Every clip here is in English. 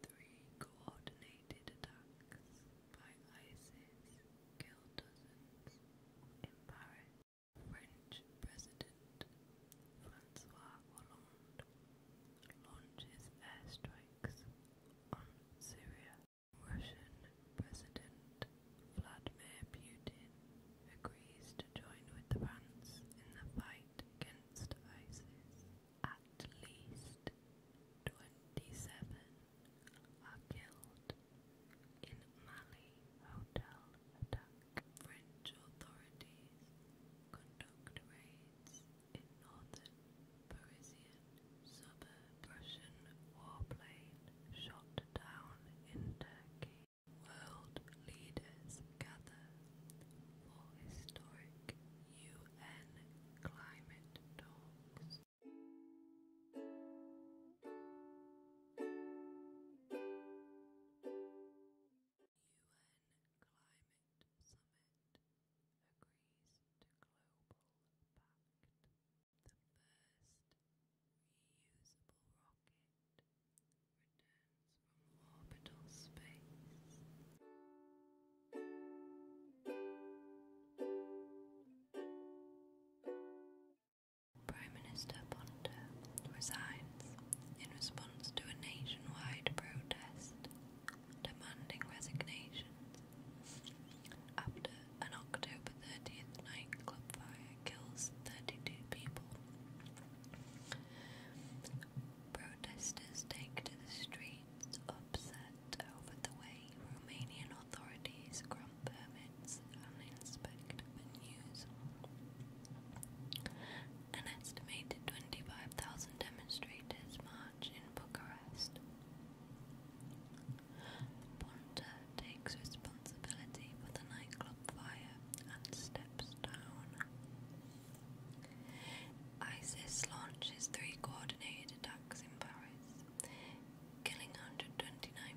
Three coordinated attacks by ISIS killed dozens in Paris. French President Francois Hollande launches airstrikes on Syria. Russian President Vladimir Putin agrees to join with the France in the fight against ISIS. At least twenty-seven are killed in Mali hotel attack. French authorities conduct raids in northern Parisian suburb. Russian warplane shot down in Turkey. World leaders gather for historic UN climate talks. UN Climate Summit agrees to Global Pact. The first reusable rocket Prime Minister Ponta resigns in response to a nationwide protest demanding resignations after an October 30th nightclub fire kills 32 people. Protesters take to the streets, upset over the way Romanian authorities grant permits and inspect venues. An estimated 25,000 demonstrators march in Bucharest. Ponta takes responsibility for the nightclub fire and steps down. ISIS launches three coordinated attacks in Paris, killing 129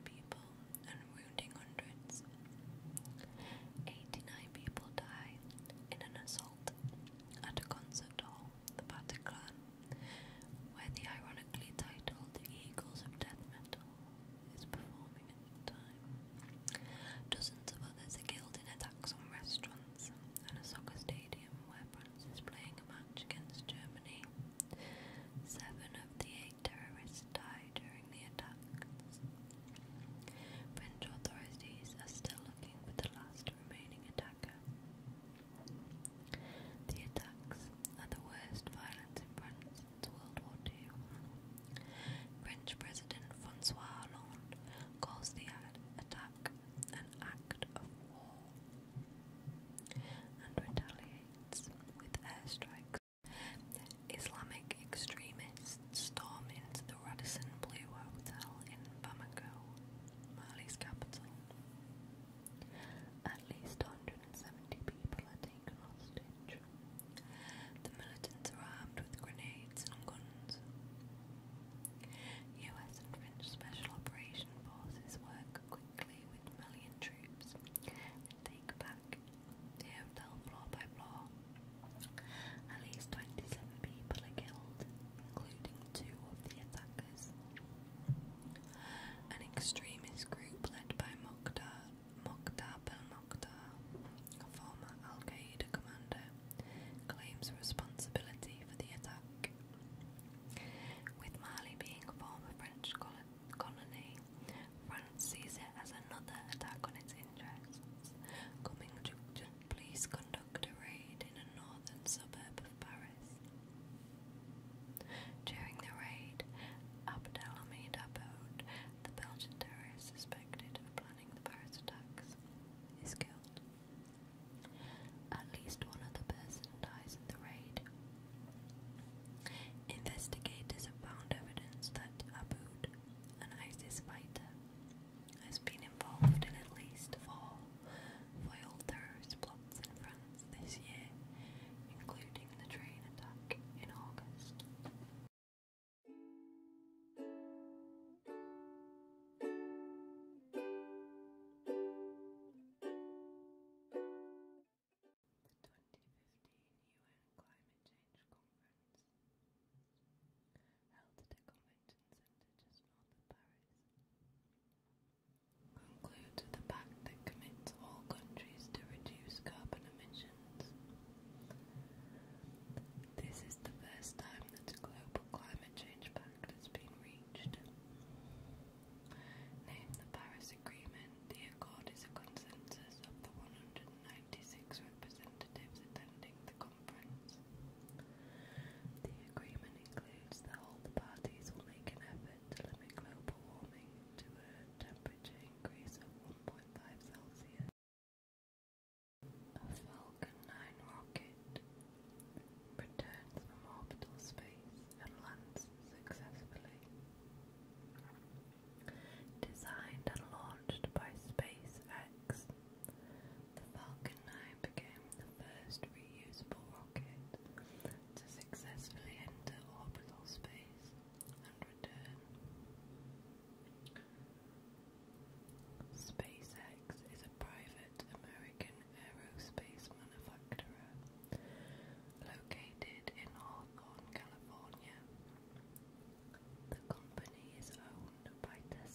people and wounding hundreds. 89 people die in an assault at a concert hall, the Bataclan, where the ironically titled Eagles of Death Metal is performed. Dozens of others are killed in attacks on restaurants and a soccer stadium where France is playing a match against Germany. Seven of the eight terrorists died during the attacks. French authorities are still looking for the last remaining attacker. The attacks are the worst violence in France French President Francois Hollande calls the attack an act of war and retaliates with airstrikes. Islamic extremists storm into the Radisson Blue Hotel in Bamako, Mali's capital. At least 170 people are taken hostage. The militants are armed with grenades and guns. US and French Special Operation Forces work quickly with million troops and take back the hotel floor by floor. At least 27 people are killed, including two of the attackers. An extremist group led by Mokhtar, Mokhtar Belmokhtar, a former Al Qaeda commander, claims responsibility for the attack. With Mali being a former French colony, France sees it as another attack on its interests. Coming to police conduct a raid in a northern suburb of Paris. During the raid, Abd al-Hamid Aboud, the Belgian terrorist suspected of planning the Paris attacks, is killed. At least one other person dies in the raid. Investigators have found evidence that Aboud, an ISIS fighter, has been involved in at least four foiled terrorist plots in France this year, including the train attack in August. The 2015 UN Climate Change Conference, held at a convention centre just north of Paris, concludes with a pact that commits all countries to reduce carbon emissions. This is the first time that a global climate change pact has been reached. Name the Paris Agreement, the accord is a consensus of the 196 representatives attending the conference. The agreement includes that all the parties will make an effort to limit global warming to a temperature increase of 1.5 Celsius. A Falcon 9 rocket returns from orbital space and lands successfully. Designed and launched by SpaceX, the Falcon 9 became the first reusable rocket to successfully enter orbital space and return. SpaceX is a private American aerospace manufacturer located in Hawthorne, California. The company is owned by Tesla.